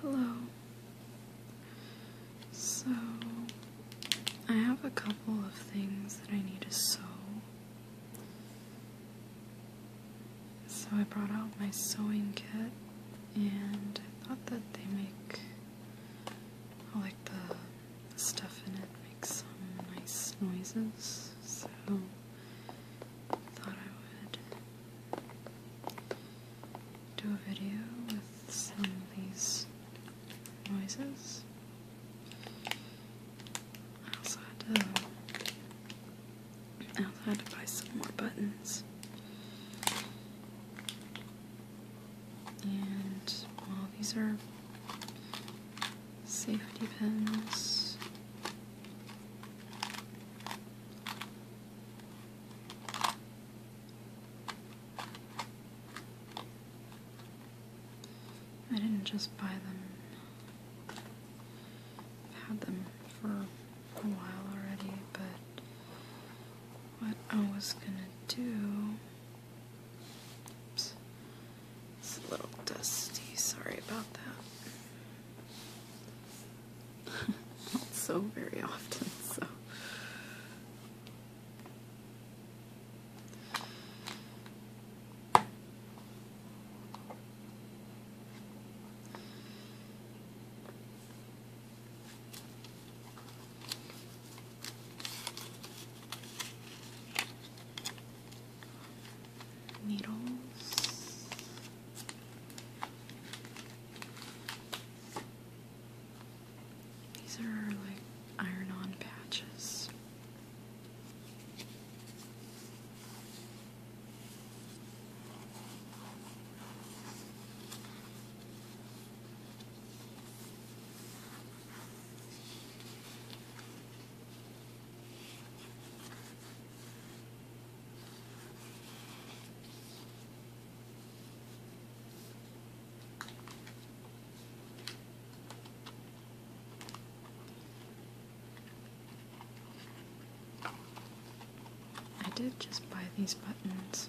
Hello. So, I have a couple of things that I need to sew. So, I brought out my sewing kit and I thought that they make I like the, stuff in it makes some nice noises. So, thought I would do a video with some of these noises. I also had to, I also had to buy some more buttons. And while these are safety pins. I didn't just buy them. I've had them for a while already, but what I was gonna do it's a little dusty. Sorry about that. Not so very often, so needles. These are like iron on patches. I did just buy these buttons.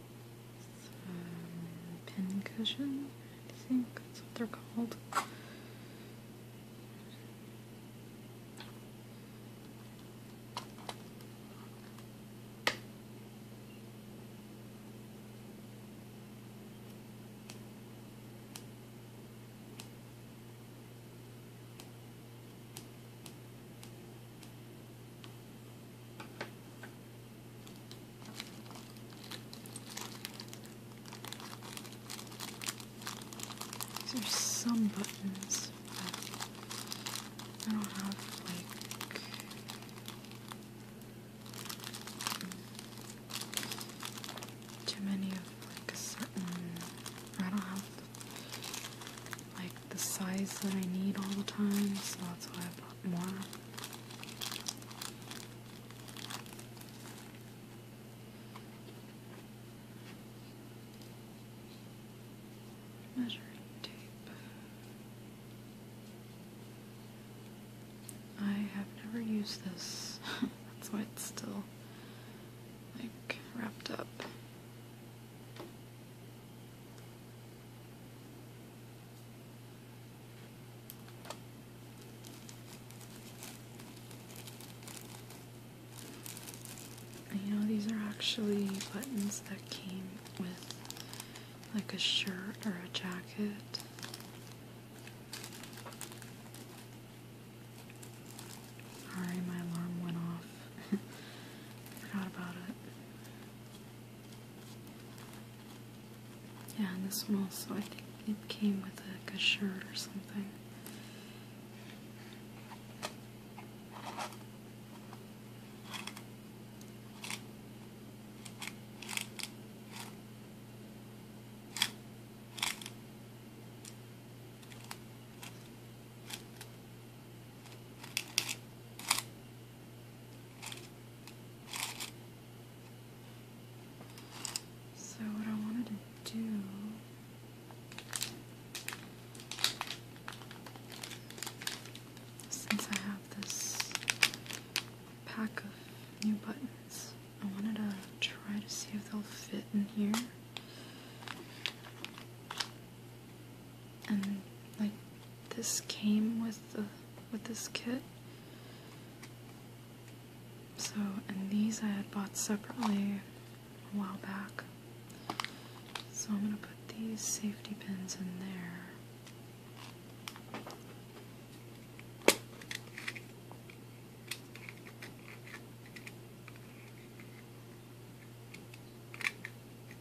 Pincushion. I think that's what they're called. There's some buttons, I don't have like too many of like a certain I don't have like the size that I need all the time, so that's why I bought more. Measuring tape. I have never used this. That's why it's still like wrapped up you know, these are actually buttons that came with like a shirt or a jacket. Sorry, my alarm went off. Forgot about it. Yeah, and this one also, I think it came with like a shirt or something. So what I wanted to do since I have this pack of new buttons, I wanted to try to see if they'll fit in here. And like this came with the with this kit. So, and these I had bought separately a while back. So I'm gonna put these safety pins in there.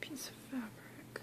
piece of fabric.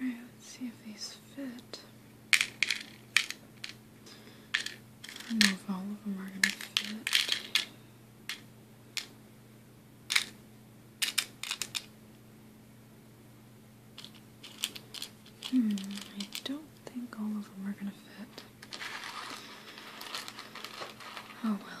All right, let's see if these fit. I don't know if all of them are going to fit. Hmm, I don't think all of them are gonna fit. Oh well.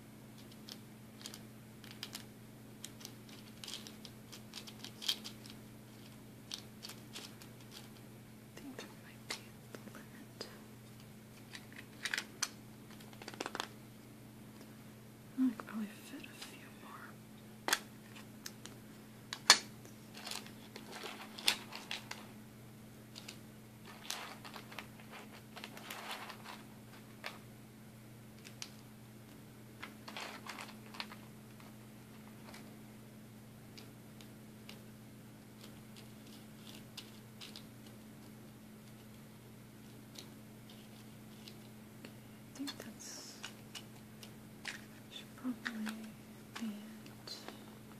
I think that might be the limit. I could probably fit a few more. I think that's should probably be it.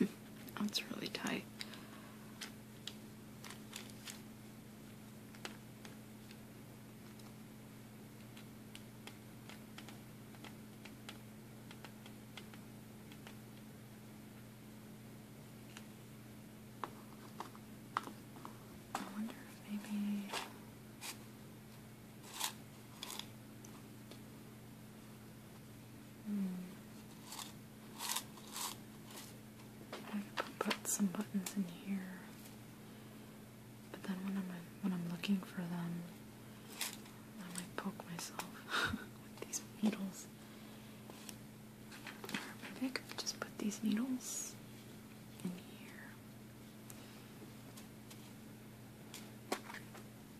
That's really tight. I wonder if maybe Hmm. I could put some buttons in here, but then when I'm when I'm looking for them, I might poke myself with these needles. maybe I could just put these needles in here.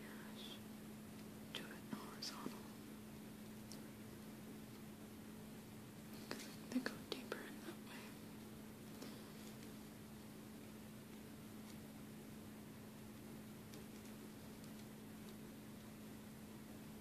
Yes. Do it horizontal. They go deeper that way.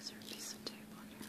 Is there a piece of tape on here?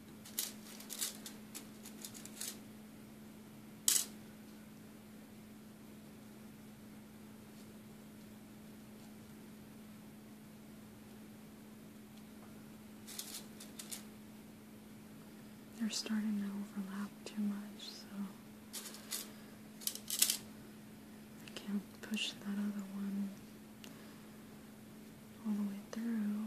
They're starting to overlap too much, so I can't push that other one all the way through.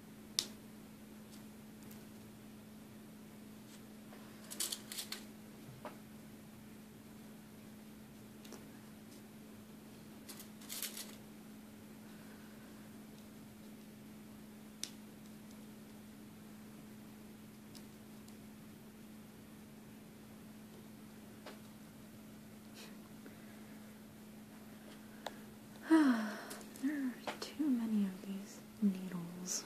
there are too many of these needles.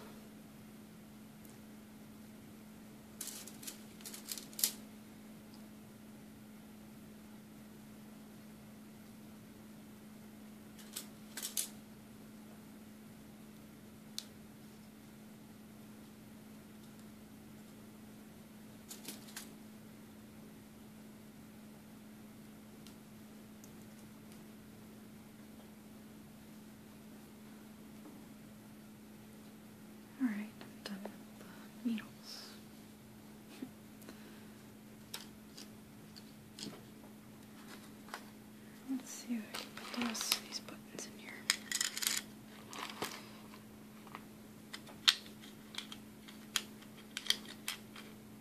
All right, I'm done with the needles. Let's see put the these buttons in here.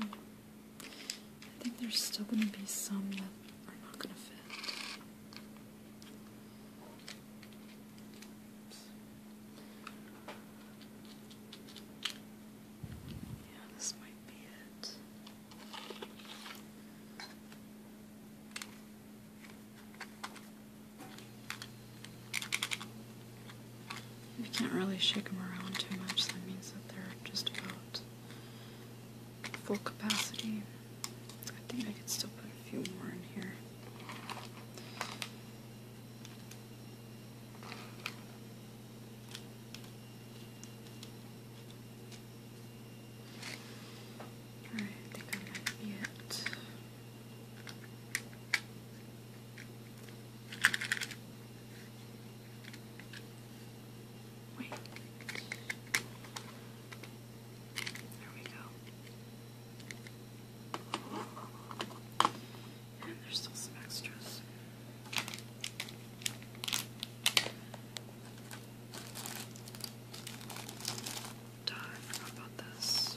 I think there's still going to be some that are not going to fit. Yeah, this might be it you can't really shake them around too much, that means that they're just about full capacity. I think I could still put a few more in here. I think I might be it. Wait. There we go. And there's still some extras. Duh, I forgot about this.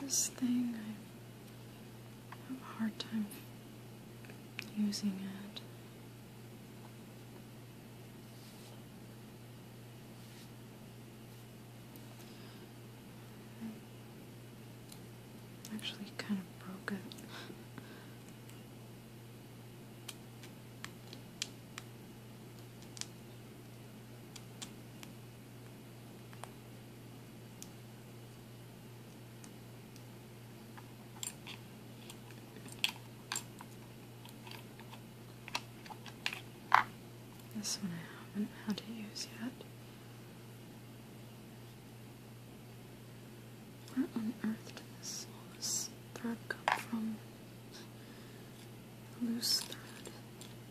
This thing, I have a hard time using it. actually kind of broke it. This one I haven't had to use yet. Where on earth did thread from? Loose thread.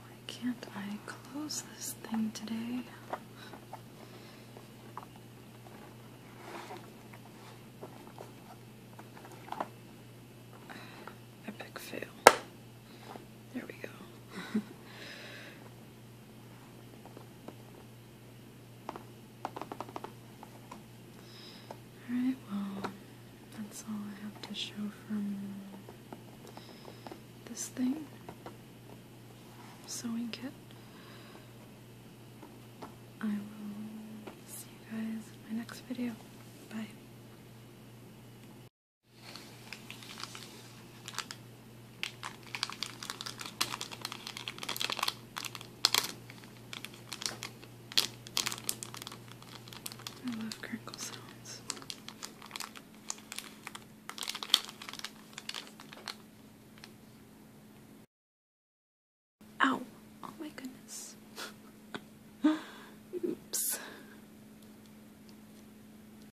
Why can't I close this thing today? Epic fail. There we go. Alright, well, that's all I have to show from this thing sewing kit. I will see you guys in my next video. Bye. I love crinkle sounds. Ow! Oh, oh my goodness. Oops.